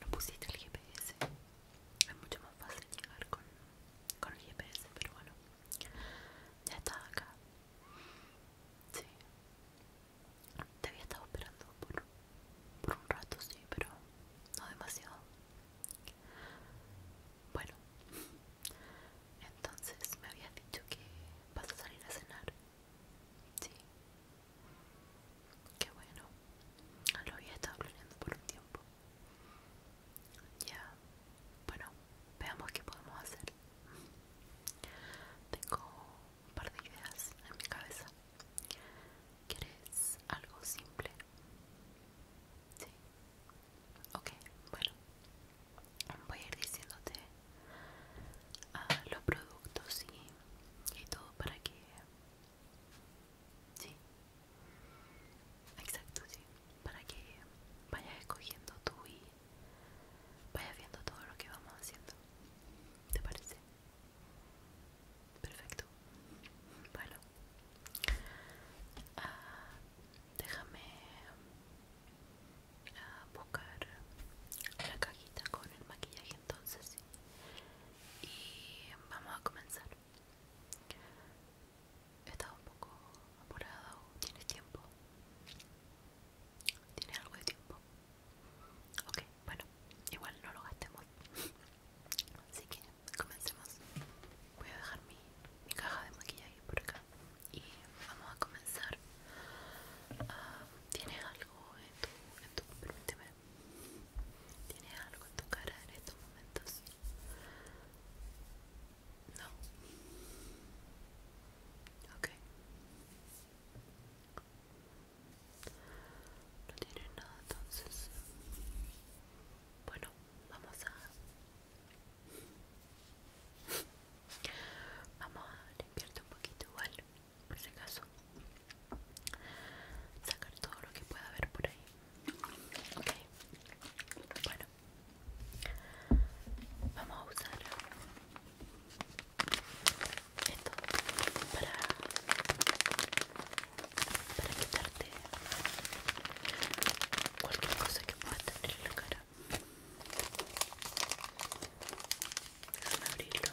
no pusiste el GPS es mucho más fácil llegar con, el GPS pero bueno ya estaba acá sí te había estado esperando por, por un rato sí pero no demasiado bueno entonces me habías dicho que vas a salir a cenar Sí. Qué bueno. Lo había estado planeando por un tiempo. Ya. Bueno, veamos qué podemos hacer. Tengo un par de ideas en mi cabeza. ¿Quieres algo simple? Sí. Ok, bueno. Voy a ir diciéndote ah, los productos y y todo para que sí exacto sí para que vayas escogiendo tú y vayas viendo todo lo que vamos haciendo te parece perfecto bueno ah, déjame ah, buscar la cajita con el maquillaje entonces sí y vamos a comenzar he estado un poco apurado tienes tiempo tienes algo de tiempo ok bueno igual no lo gastemos así que comencemos voy a dejar mi, caja de maquillaje por acá y vamos a comenzar ah, tienes algo en tu permíteme. ¿Tienes algo en tu cara en estos momentos? No. Ok. No tiene nada entonces. Bueno, vamos a... Vamos a limpiarte un poquito igual por ese caso sacar todo lo que pueda haber por ahí ok bueno vamos a usar esto para para quitarte cualquier cosa que pueda tener en la cara déjame abrirlo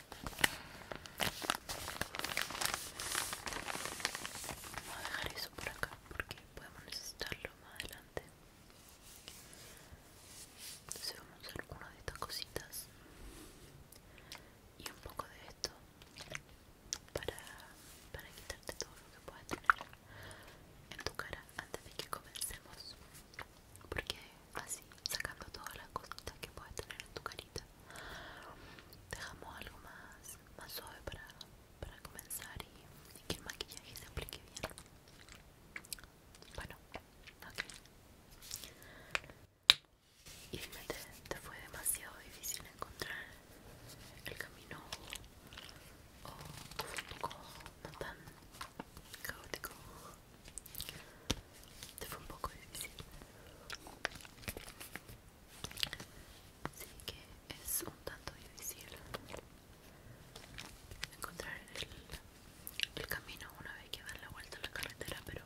Vamos a dejar eso por acá porque podemos necesitarlo más adelante. Entonces vamos a usar una de estas cositas y un poco de esto para, para quitarte todo lo que puedas tener en tu cara antes de que comencemos. Porque así sacando todas las cositas que puedas tener en tu carita dejamos algo más, más suave para, comenzar y, que el maquillaje se aplique bien bueno, ok y dime, te, fue demasiado difícil encontrar el camino o, tu no tan caótico te fue un poco difícil sí que es un tanto difícil encontrar el, camino una vez que dar la vuelta a la carretera pero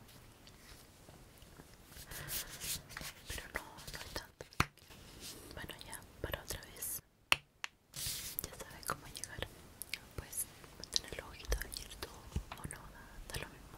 pero no, no es tanto bueno ya para otra vez ya sabes cómo llegar pues tener los ojitos abiertos o no da lo mismo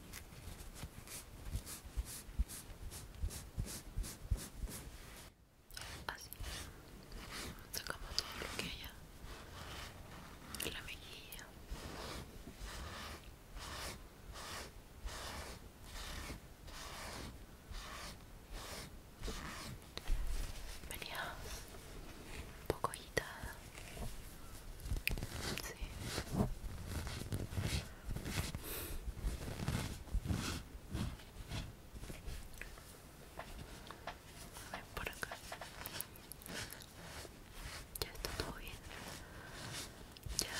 Así sacamos todo lo que haya en la mejilla. Venía un poco agitada Sí. A ver por acá. Ya está todo bien. Ya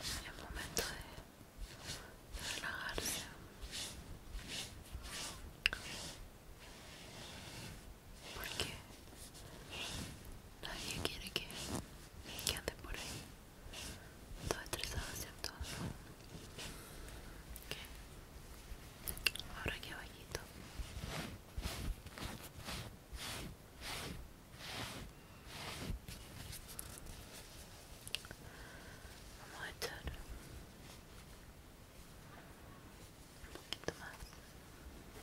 es momento de relajarse porque nadie quiere que, que ande por ahí todo estresado, ¿cierto? Ahora aquí abajito Vamos a echar un poquito más.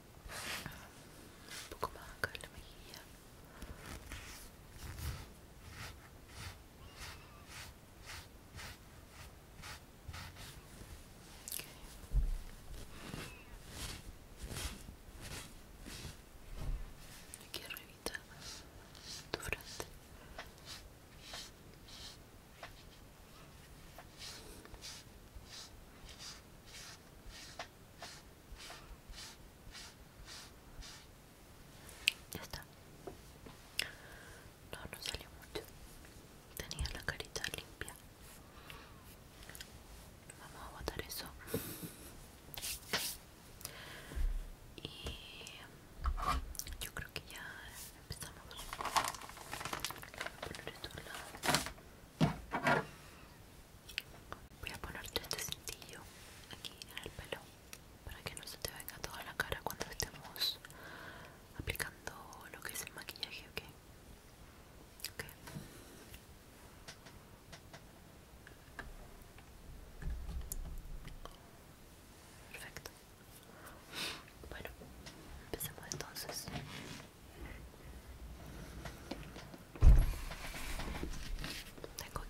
un poco más acá en la mejilla okay. Aquí arribita tu frente. Muy ya está. No, no salió mucho. Tenía la carita limpia. Vamos a botar eso. Y yo creo que ya empezamos. a Voy a ponerte este cintillo aquí en el pelo para que no se te venga toda la cara cuando estemos aplicando lo que es el maquillaje, ¿ok? Perfecto. Bueno, empecemos entonces. Tengo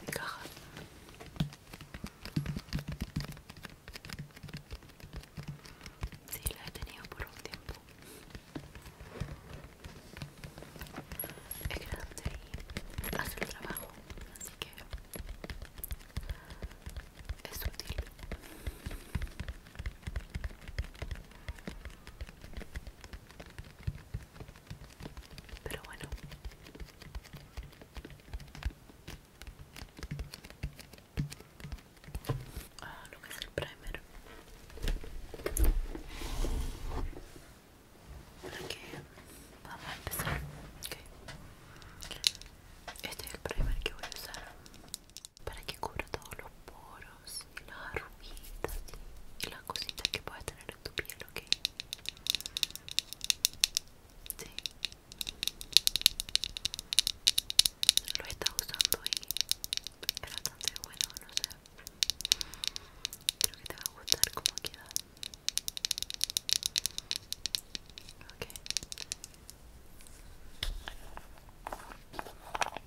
mi caja. Sí, la he tenido por un tiempo. Es que la hace el trabajo, así que es útil. Pero bueno. Ah, lo que es el primer. Para que vamos a empezar. Okay. Este es el primer que voy a usar para que cubra todos los poros y las arruguitas y las cositas que puedas tener en tu piel, ¿ok? Sí. Lo estás usando y es bastante bueno, no sé. Creo que te va a gustar como queda. Ok.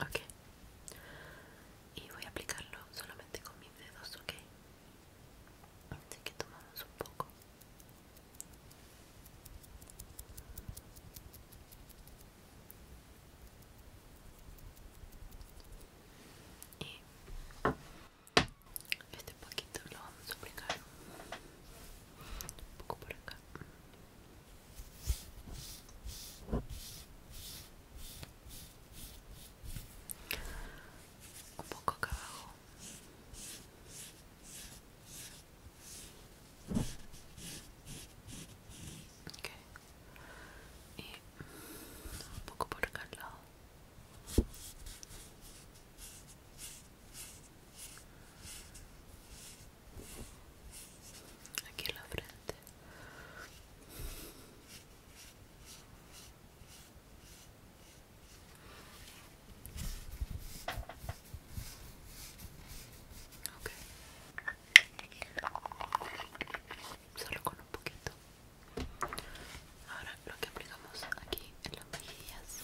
ok y voy a aplicarlo solamente con mis dedos ok así que tomamos un poco y este poquito lo vamos a aplicar un poco por acá un poco acá abajo okay. y un poco por acá al lado aquí en la frente solo con un poquito ahora lo que aplicamos aquí en las mejillas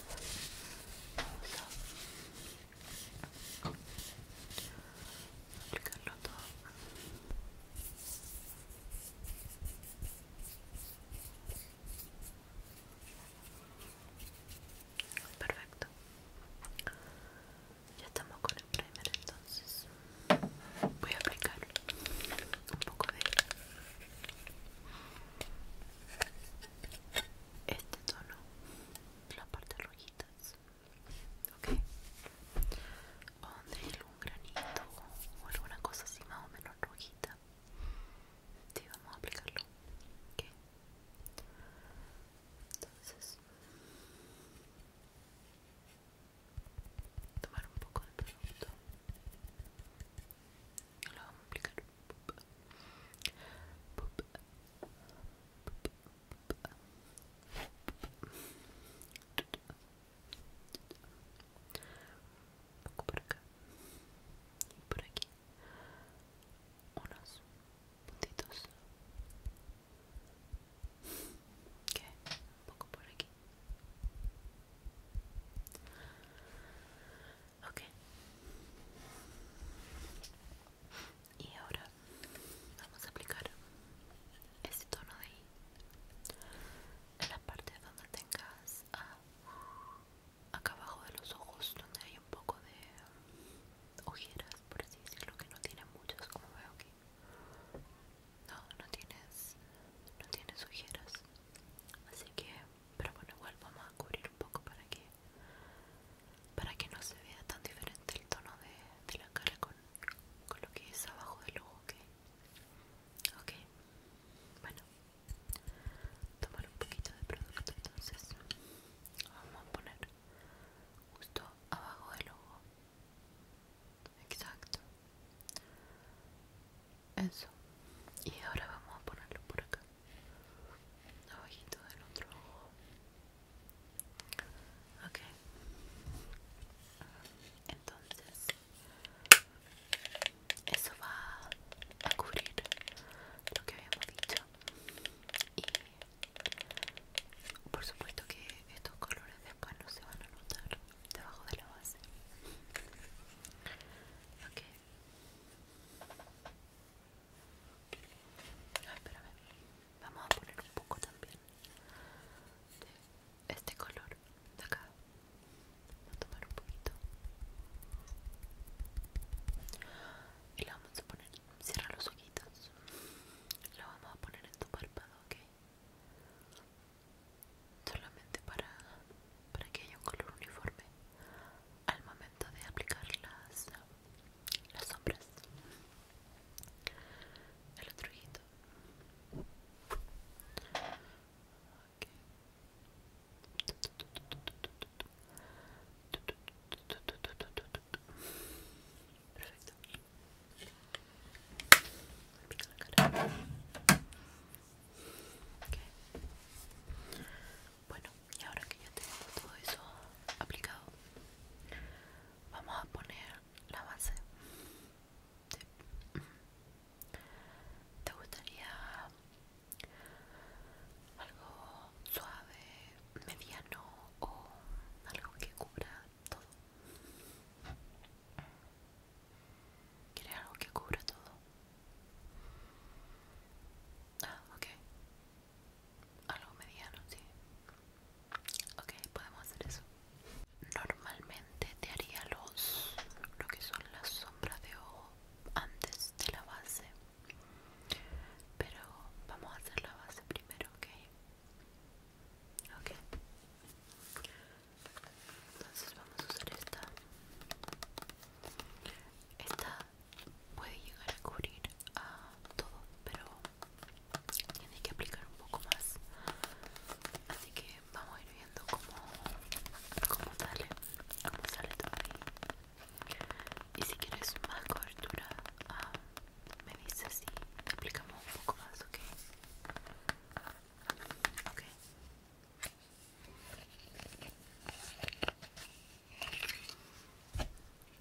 perfecto ya estamos con el primer entonces voy a aplicar un poco de este tono las partes rojitas ok donde un granito o alguna cosa así más o menos rojita y vamos a aplicarlo ok entonces tomar un poco de producto y lo vamos a aplicar poco por acá y por aquí unos puntitos que poco por aquí Ok. Y ahora vamos a aplicar ese tono de ahí en la parte donde tengas acá abajo de los ojos, donde hay un poco de ojeras, por así decirlo, que no tiene muchas, como veo aquí. No, no tienes, no tienes ojeras, así que, pero bueno, igual vamos a cubrir un poco para que para que no se vea tan diferente el tono de, la cara con, con lo que es abajo del ojo, ¿ok? Ok, bueno, tomar un poquito de producto entonces. Vamos a poner justo abajo del ojo. Exacto. Eso. Y ahora vamos a ponerlo por acá abajito del otro ojo entonces eso va a cubrir lo que habíamos dicho y por supuesto que estos colores después no se van a notar debajo de la base ok Ah, vamos a poner un poco también de este color de acá. vamos a tomar un poquito. Y la vamos a poner. Cierra los ojitos. la vamos a poner en tu párpado, ¿ok? Solamente para, para que haya un color uniforme al momento de aplicar las las sombras el otro ojito perfecto bueno, y ahora que ya tengo todo eso aplicado, vamos a poner la base. ¿Te, ¿Te gustaría algo suave, mediano o algo que cubra todo? ¿Quieres algo que cubra todo? Ah, ok. Algo mediano, sí. Ok, podemos hacer eso. Normalmente te haría los lo que son las sombras de ojo antes de la base. Pero vamos a hacer la base primero, ok. Ok. Entonces vamos a usar esta. Esta puede llegar a cubrir a ah, todo, pero tiene que aplicar un poco más. Así que vamos a ir viendo cómo, cómo sale, sale todo ahí. Y si quieres más cobertura, ah, me dices si aplicamos un poco más, ¿ok? Ok.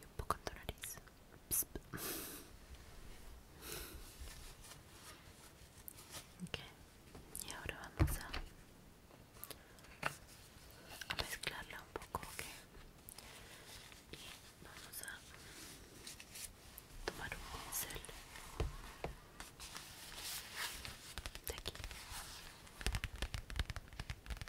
y un poco en tu nariz. y ahora vamos a, mezclarla un poco, vamos a tomar un pincel de aquí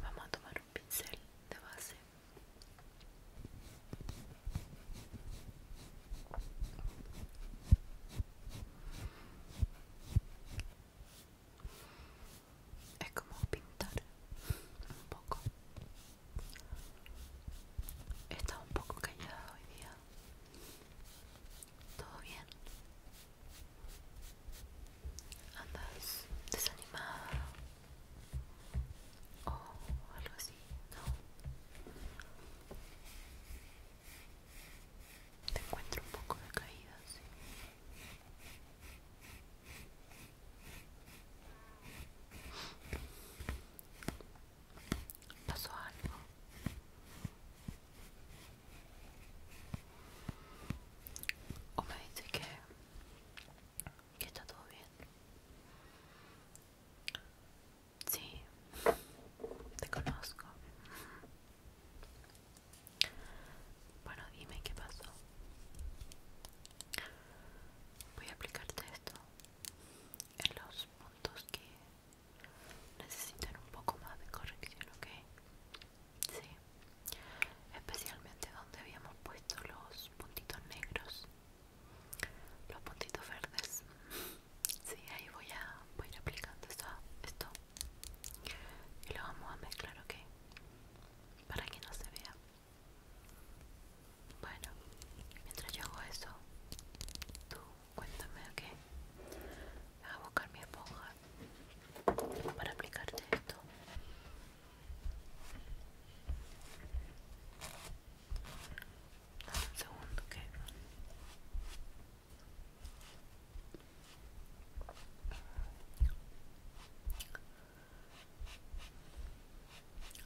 vamos a tomar un pincel de base es como pintar un poco Está un poco callada hoy día. ¿Todo bien? andas desanimada o algo así, ¿no? Te encuentro un poco decaída, sí. ¿Pasó algo? o me dice que, está todo bien. Sí, te conozco. Bueno, dime qué pasó. Voy a aplicarte esto en los puntos que necesitan un poco más de corrección, ¿ok? Sí, especialmente donde habíamos puesto los puntitos negros, los puntitos verdes. Sí, ahí voy a, voy a ir aplicando esto, esto y lo vamos a mezclar, ¿ok? Para que no se vea. Bueno, mientras yo hago eso, tú cuéntame, ¿ok? Voy a buscar mi esponja para aplicarte esto un segundo que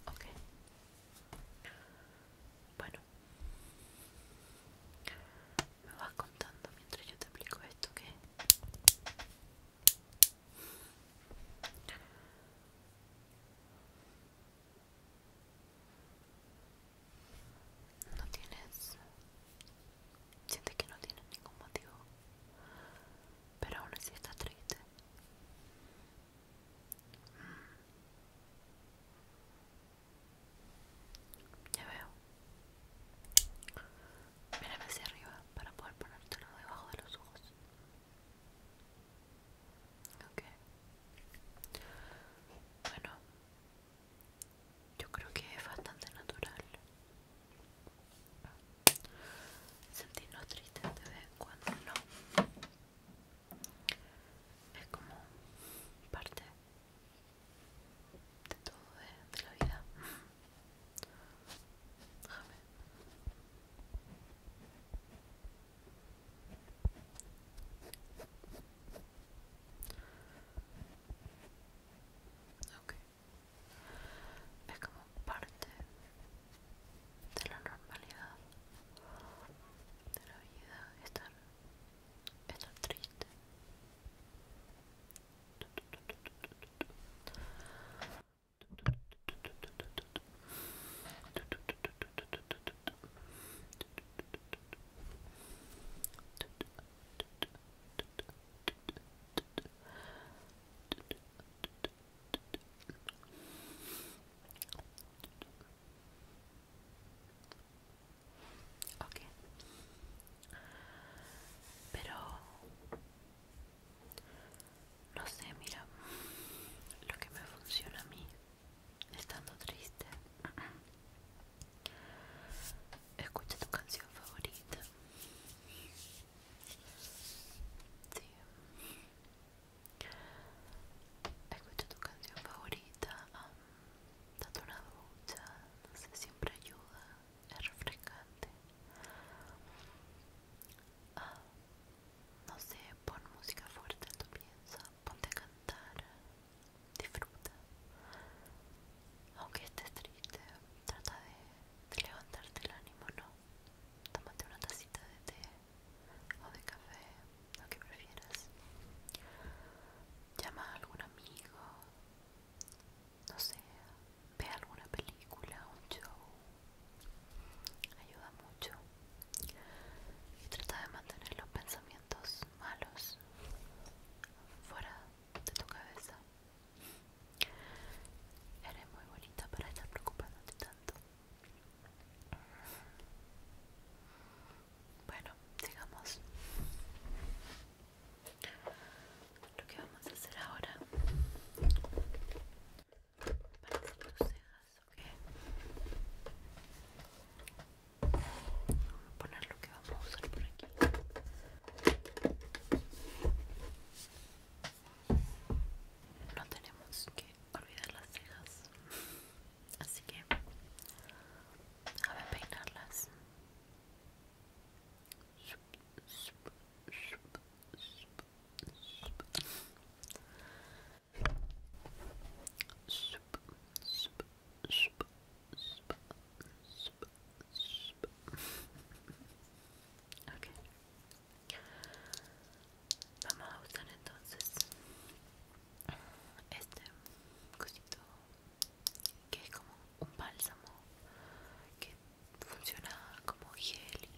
ok bueno me vas contando mientras yo te aplico esto que no tienes... siente que no tienes ningún motivo, pero aún así estás triste. Mm. Ya veo. Mírame hacia arriba para poder ponértelo debajo de los ojos. Ok. Bueno, yo creo que es bastante natural. Sentirnos tristes de vez en cuando, no. Es como parte de todo de la vida. Es como parte de la normalidad de la vida estar triste Okay. Pero no sé, mira, lo que me funciona a mí estando triste. Escucha tu canción favorita. Escucha tu canción favorita. Um, date una ducha. No sé, siempre ayuda es refrescante. Ah, no sé, pon música fuerte en tu piensa, ponte a cantar, disfruta. Aunque estés triste, trata de, levantarte el ánimo, ¿no? Tómate una tacita de té o de café, lo que prefieras. Llama a algún amigo, no sé, ve alguna película, un show, ayuda mucho y trata de mantener los pensamientos malos fuera de tu cabeza. Eres muy bonita para estar preocupándote tanto. Bueno, sigamos. Lo que vamos a hacer ahora para tus cejas, Vamos a poner lo que vamos a usar por aquí. No tenemos que olvidar las cejas, así que ver peinarlas. Vamos a usar entonces este cosito que es como un bálsamo que funciona como gel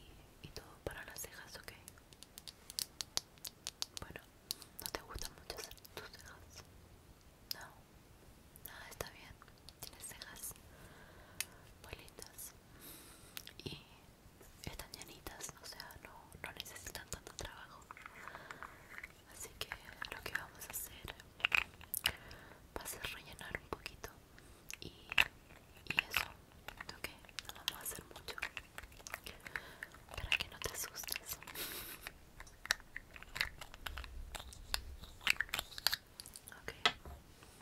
y, todo para las cejas, ¿ok? Bueno, ¿no te gustan mucho tus cejas? No, nada, está bien, tienes cejas muy y están llanitas, o sea, no, no necesitan tanto trabajo. Así que lo que vamos a hacer va a ser rellenar un poquito y, eso toque, no vamos a hacer mucho para que no te asustes ok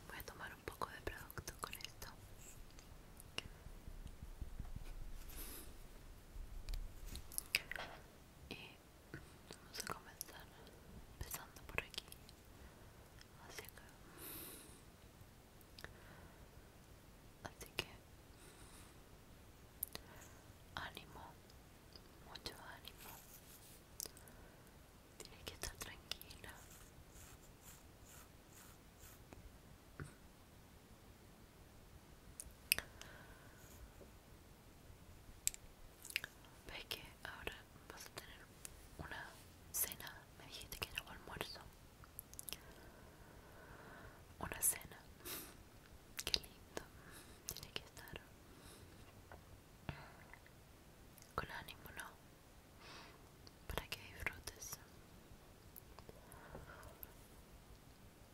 voy a tomar un poco de producto con esto y Vamos a comenzar empezando por aquí acá. Así que ánimo, mucho ánimo. tiene que estar tranquila ve que ahora vas a tener una cena me dijiste que era un almuerzo una cena qué lindo tiene que estar con ánimo no para que disfrutes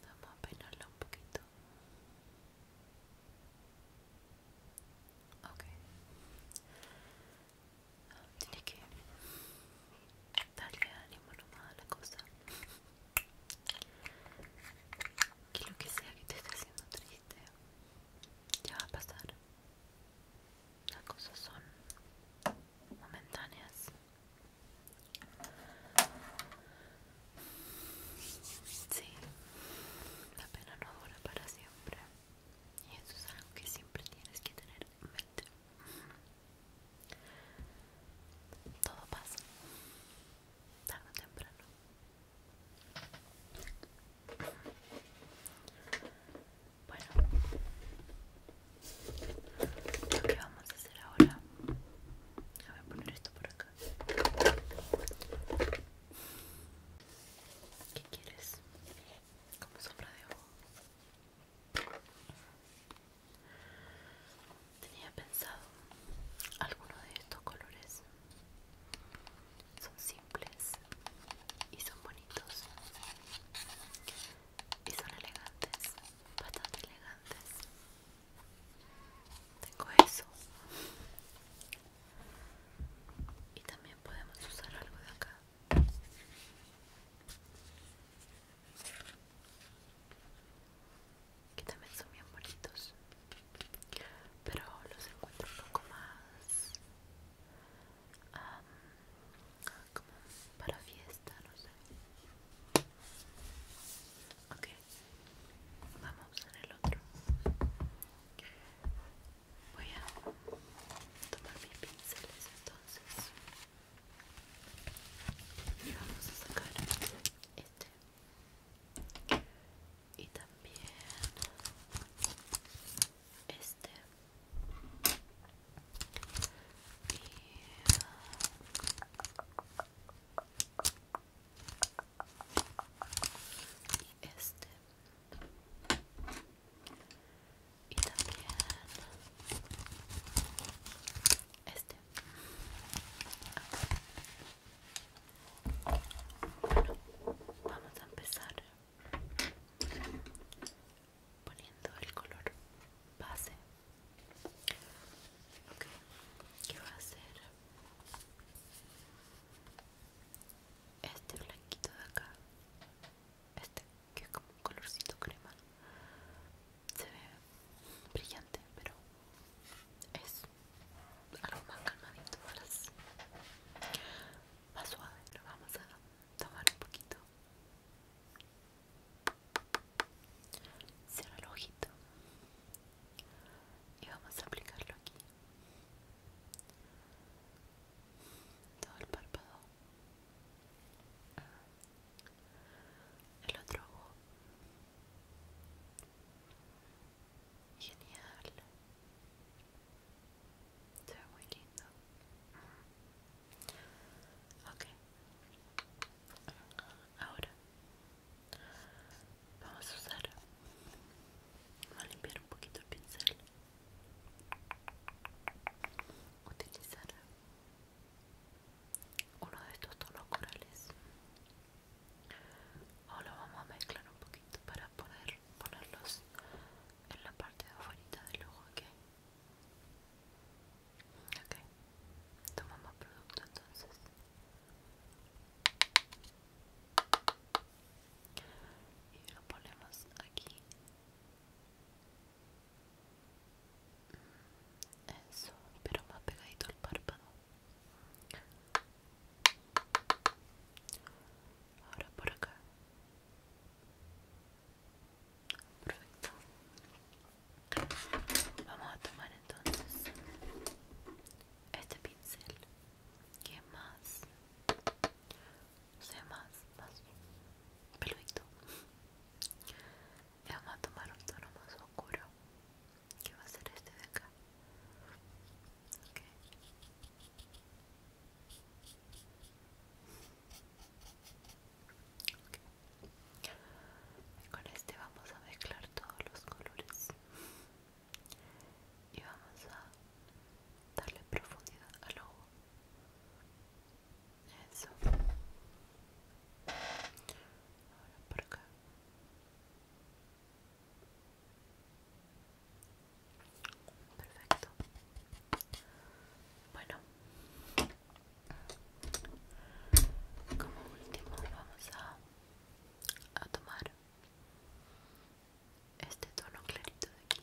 vamos a peinarla un poquito Okay. tiene que darle ánimo nomás a la cosa. Que lo que sea que te esté haciendo triste, ya va a pasar. Las cosas son momentáneas. Sí, la pena no dura para siempre y eso es algo que siempre tienes que tener en mente todo pasa tarde o temprano bueno lo que vamos a hacer ahora a poner esto por acá ¿Qué quieres? Como sombra de ojo. Tenía pensado algunos de estos colores. Son simples y son bonitos. Y son elegantes, bastante elegantes. Tengo eso y también podemos usar algo de acá que también son bien bonitos pero los encuentro un poco más para fiesta no sé okay vamos en el otro Voy a tomar mis pinceles entonces y vamos a sacar este y también este y este y también este bueno vamos a empezar poniendo el color base okay, que va a ser este blanquito de acá este que es como un colorcito crema se ve brillante pero es algo más calmadito más, suave lo vamos a tomar un poquito cierra el ojito y vamos a aplicarlo aquí todo el párpado ah. el otro ojo genial se ve muy lindo ok ahora vamos a usar vamos a limpiar un poquito el pincel utilizar uno de estos tonos corales ahora vamos a mezclar un poquito para poder ponerlos en la parte de afuera del ojo ok ok tomamos producto entonces y lo ponemos aquí eso pero más pegadito al párpado ahora por acá perfecto vamos a tomar entonces este pincel que más sea, más, más Y vamos a tomar un tono más oscuro. Que va a ser este de acá. con este vamos a mezclar todos los colores y vamos a darle profundidad al ojo eso ahora por acá perfecto bueno como último vamos a tomar este tono clarito de aquí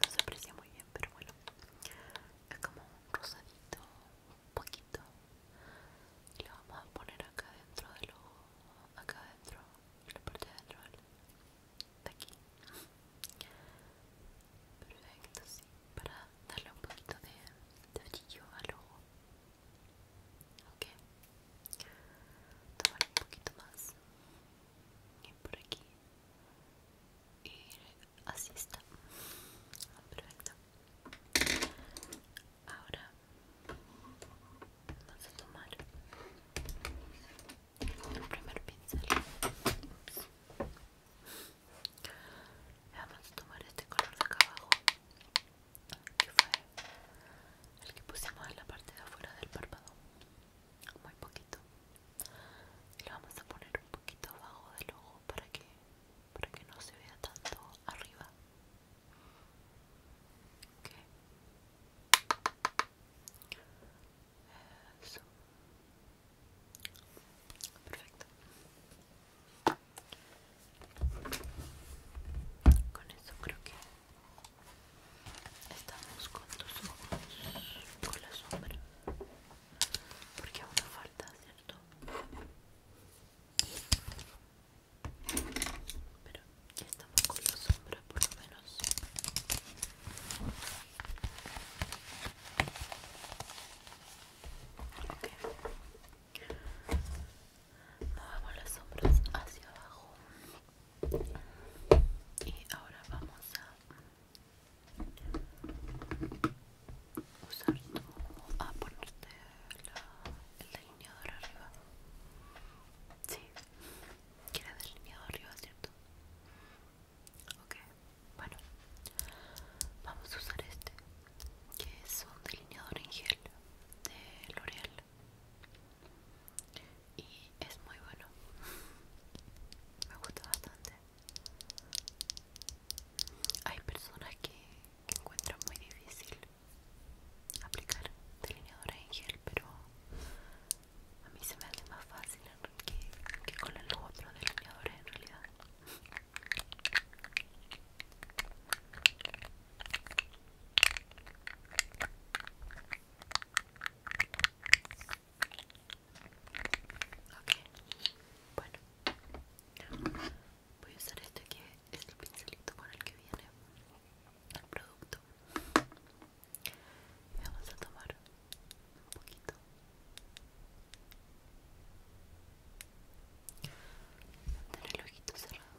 no se aprecia muy bien pero bueno es como un rosadito un poquito y lo vamos a poner acá dentro del ojo acá dentro en la parte de adentro de aquí perfecto sí para darle un poquito de, de brillo al ojo ok tomar un poquito más y por aquí y así está perfecto ahora vamos a tomar el primer pincel Vamos a tomar este color de acá abajo fue el que pusimos en la parte de afuera del párpado muy poquito y lo vamos a poner un poquito abajo del ojo para que para que no se vea tanto arriba Eso. perfecto con eso creo que Estamos con tus ojos, con la sombra, porque aún falta, ¿cierto? Pero ya estamos con la sombra, por lo menos. Ok movamos las sombras hacia abajo y ahora vamos a usar tu a ponerte el delineador arriba sí quieres delineador arriba cierto ok bueno vamos a usar este que es un delineador en gel de L'Oreal y es muy bueno me gusta bastante hay personas que, encuentran muy difícil aplicar delineadores en gel pero a mí se me hace más fácil que, que con el otro delineador en realidad Ok, bueno, voy a usar este que es el pincelito con el que viene el producto. Y vamos a tomar un poquito. tener el ojito cerrado.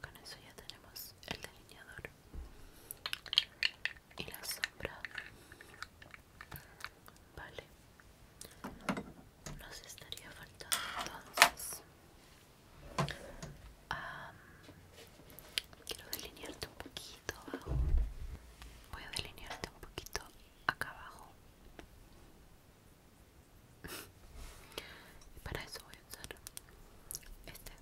Con eso ya tenemos el delineador y la sombra. Vale. Nos estaría faltando entonces quiero delinearte un poquito abajo. Voy a delinearte un poquito acá abajo. y para eso voy a usar este,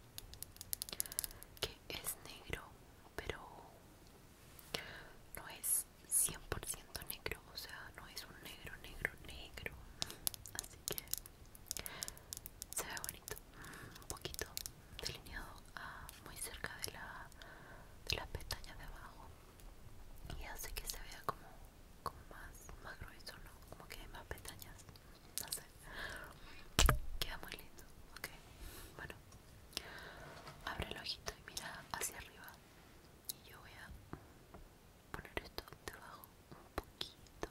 que es negro, pero no es 100% negro, o sea, no es un negro, negro, negro. Así que se ve bonito mm, un poquito delineado ah, muy cerca de la de las pestañas de abajo y hace que se vea como como más más grueso no como que hay más pestañas no sé queda muy lindo ok bueno abre el ojito y mira hacia arriba y yo voy a poner esto debajo un poquito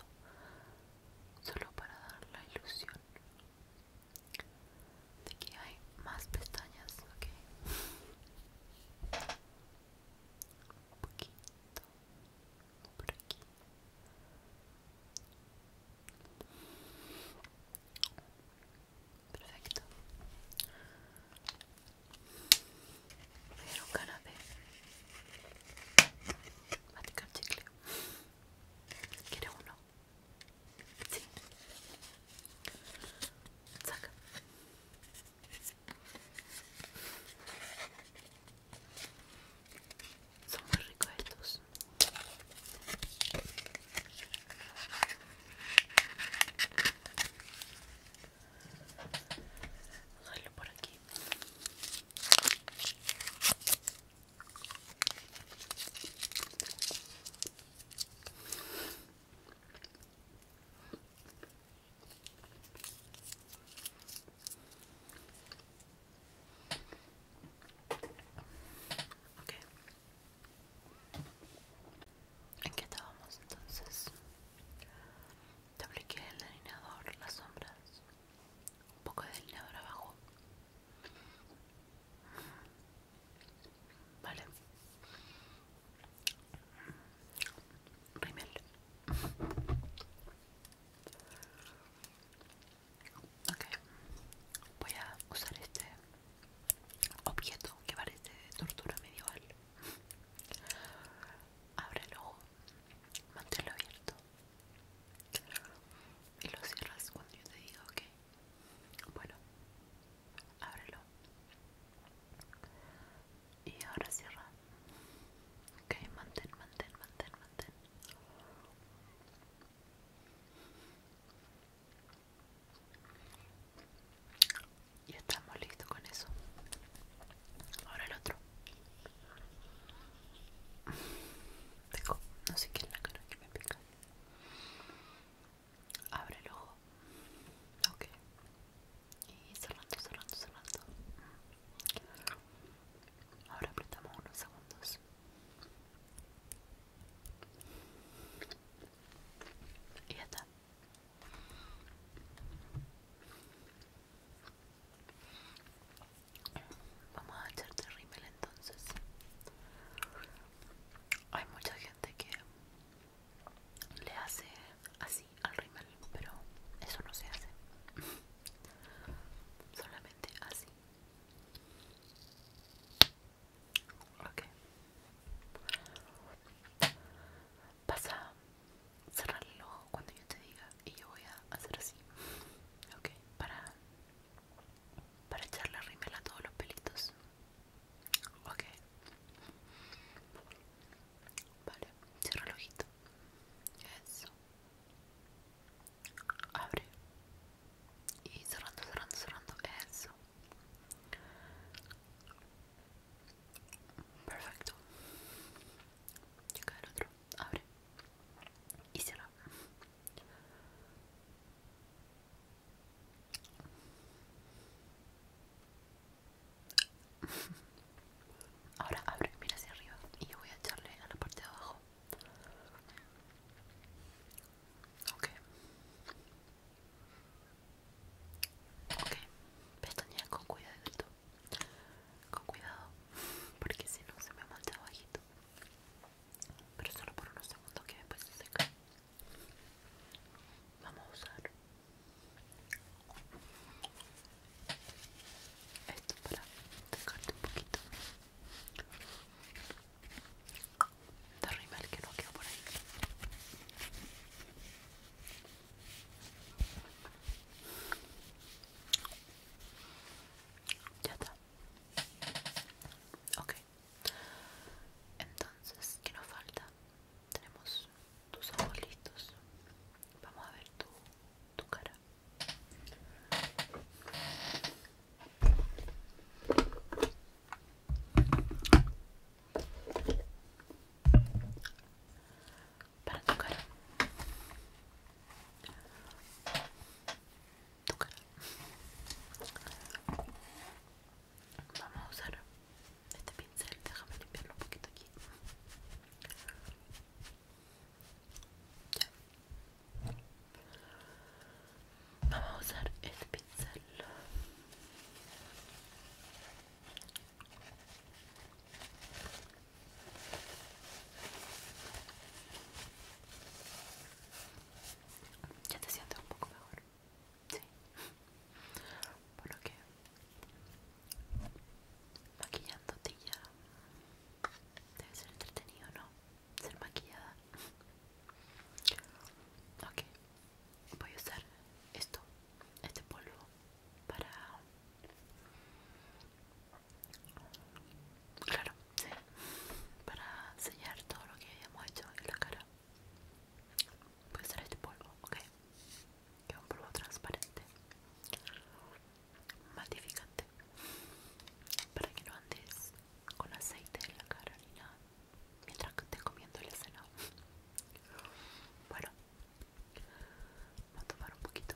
solo para dar la ilusión de que hay más pestañas, ok. Un poquito por aquí. Perfecto. Voy a un canapé. Maticar chicle. ¿Quiere uno? Sí. Saca. Son muy ricos estos. por aquí. ¿En qué estábamos entonces? Te apliqué el delineador, las sombras, un poco de delineador abajo Vale. Rimel. Ok. Voy a usar este objeto que parece de tortura medieval. Abre el ojo, manténlo abierto y lo cierras cuando yo te diga ok bueno ábrelo y ahora cierra ok mantén mantén mantén mantén y estamos listos con eso ahora el otro tengo no sé qué es la cara que me pica. Abre el ojo. Ok. Y cerrando, cerrando, cerrando. Ahora apretamos unos segundos. Y ya está. Vamos a echarte rímel entonces. Hay mucha gente que le hace así al rímel, pero eso no se hace. Solamente así. Ok. Vas a cerrar el ojo cuando yo te diga y yo voy a hacer así. Ok, para para echarle rímel a todos los pelitos. Ok. Vale, cierra el ojito. Eso. Abre. Y cerrando, cerrando, cerrando. Eso. Perfecto. Checa del otro abre y se cierra. Ahora abre, mira hacia arriba y yo voy a echarle a la parte de abajo. Ok. Ok, con Con cuidado, porque si no se me monta bajito pero solo por unos segundos que después se seca. Vamos a usar esto para secarte un poquito de rimel que no queda por ahí. Ya está. Okay, Ok. Entonces, ¿qué nos falta? Tenemos tus ojos listos. Vamos a ver tu, tu cara. Para tu cara. Vamos a usar este pincel, déjame limpiarlo un poquito aquí. Vamos a usar este pincel. Ya te sientes un poco mejor. Sí. lo que maquillándote ya debe ser entretenido, ¿no? Ser maquillada. Ok, voy a usar esto, este polvo, para Claro, sí. Para sellar todo lo que hayamos hecho en la cara. pues ser este polvo, ok. Que es un polvo transparente. Matificante. Para que no andes con aceite en la cara ni nada. Mientras que estés comiendo el escenario. Bueno. Vamos a tomar un poquito.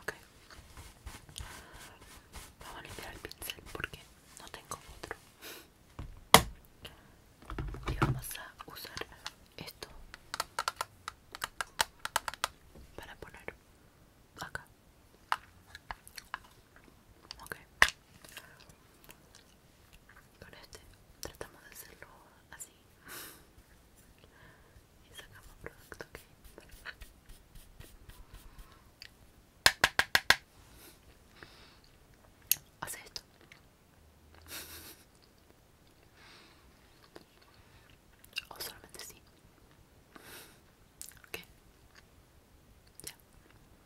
Ok, vamos a limpiar el pincel porque no tengo otro. Y vamos a usar esto para poner acá. Ok. Con este tratamos de hacerlo así. Y sacamos producto que... Hace esto. O solamente sí. Ok. Ya.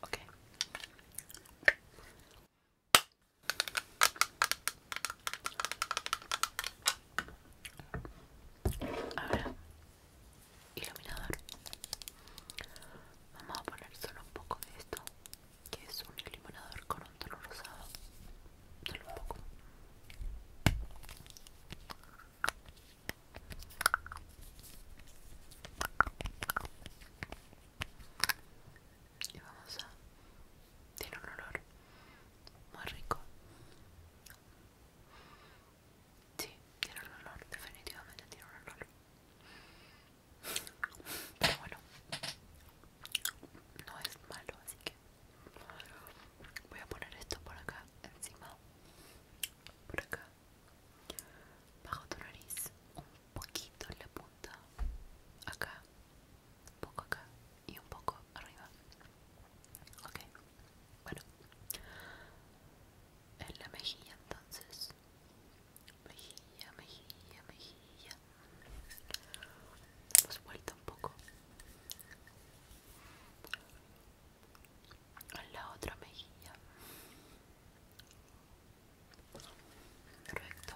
Ok. Ahora, iluminador. Vamos a poner solo un poco de esto, que es un iluminador con un tono rosado. Solo un poco y vamos a tiene un olor muy rico sí tiene un olor definitivamente tiene un olor pero bueno no es malo así que voy a poner esto por acá encima por acá bajo tu nariz, un poquito en la punta, acá, un poco acá y un poco arriba. Ok, bueno, en la mejilla entonces, mejilla, mejilla, mejilla, Hemos vuelto un poco. A la otra mejilla recto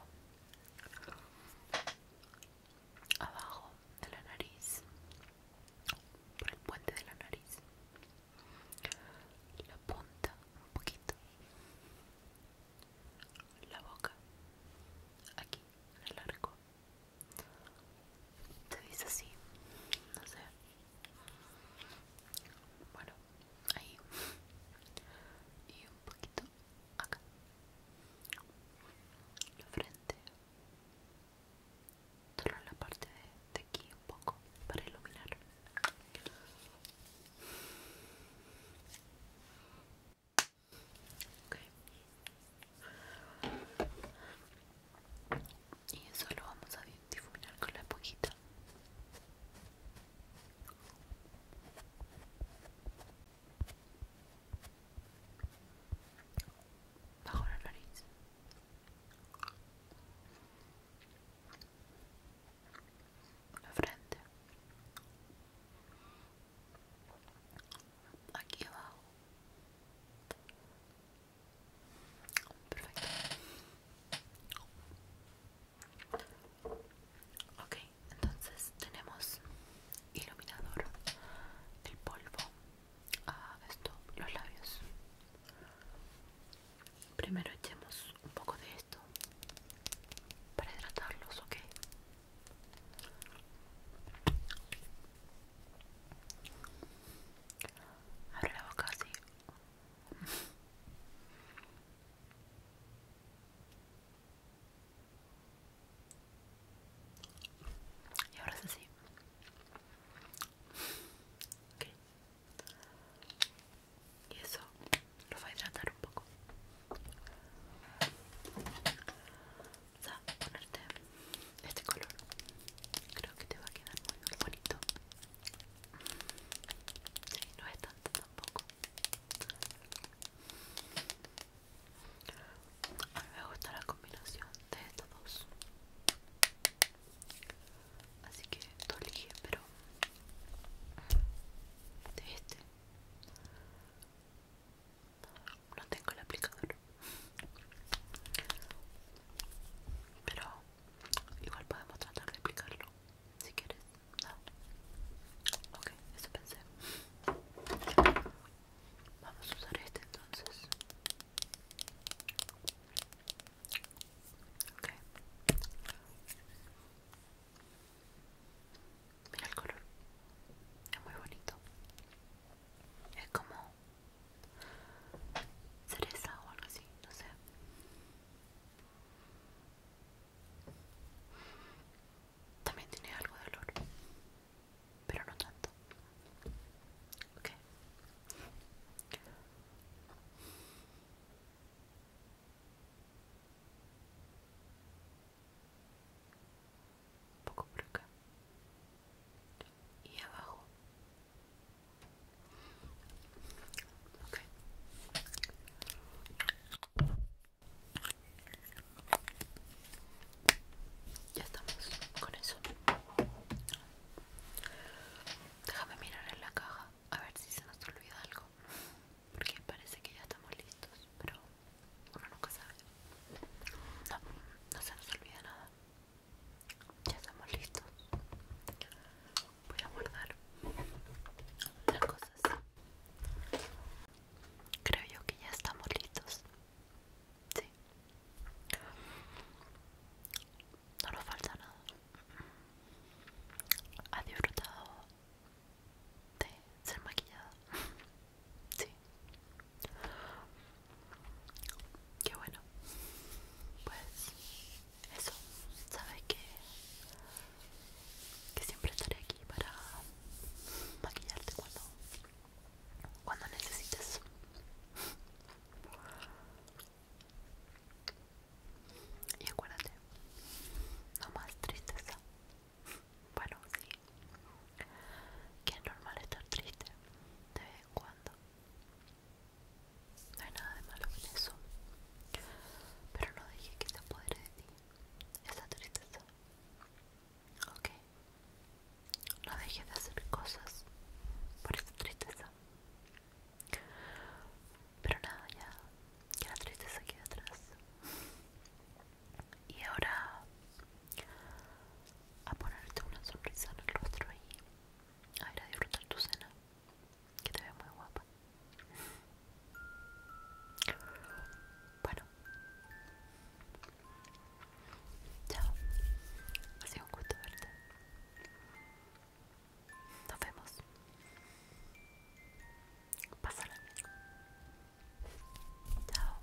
abajo de la nariz por el puente de la nariz la punta un poquito la boca aquí en el arco se dice así, no sé. Bueno, ahí y un poquito acá, la frente, solo la parte de, aquí un poco para iluminar. Okay y eso lo vamos a difuminar con la esponjita bajo la nariz la frente aquí abajo Perfecto. Ok, entonces tenemos iluminador, el polvo, ah, esto, los labios. Primero echemos un poco de esto para hidratarlos, ok. Abre la boca así. Y ahora sí, así. Y eso lo va a hidratar un poco. ¿sabes? ponerte este color. Creo que te va a quedar muy bonito no es tanto tampoco. A me gusta la combinación de estos dos. Así que esto elige, pero de este. No tengo el aplicador. Pero Igual podemos tratar de explicarlo si quieres. Ah, ok, eso pensé. Vamos a usar este entonces. Mira el color. Es muy bonito. Es como cereza o algo así, no sé. También tiene algo de olor, pero no tanto. poco por acá y abajo ya estamos con eso déjame mirar en la caja a ver si se nos olvida algo porque parece que ya estamos listos pero uno nunca sabe no, no se nos olvida nada ya estamos listos. Voy a guardar las cosas Creo yo que ya estamos listos. Sí. No nos falta nada. ¿Has disfrutado de ser maquillada? Sí. Qué bueno. Pues eso, sabes que, que siempre estaré aquí para maquillarte cuando, cuando necesites. Y acuérdate, no más tristeza. Bueno, sí, que es normal estar triste de vez en cuando. No hay nada de malo en eso. Pero no dejes que te apodere de ti esa tristeza. Ok. No dejes de hacer cosas por esa tristeza. Pero nada, ya. Que la tristeza quede atrás. Y ahora a ponerte una sonrisa en el rostro y a ir a disfrutar tu cena que te ve muy guapa. Bueno, chao. Ha un gusto verte. Nos vemos. Pásala bien. Chao.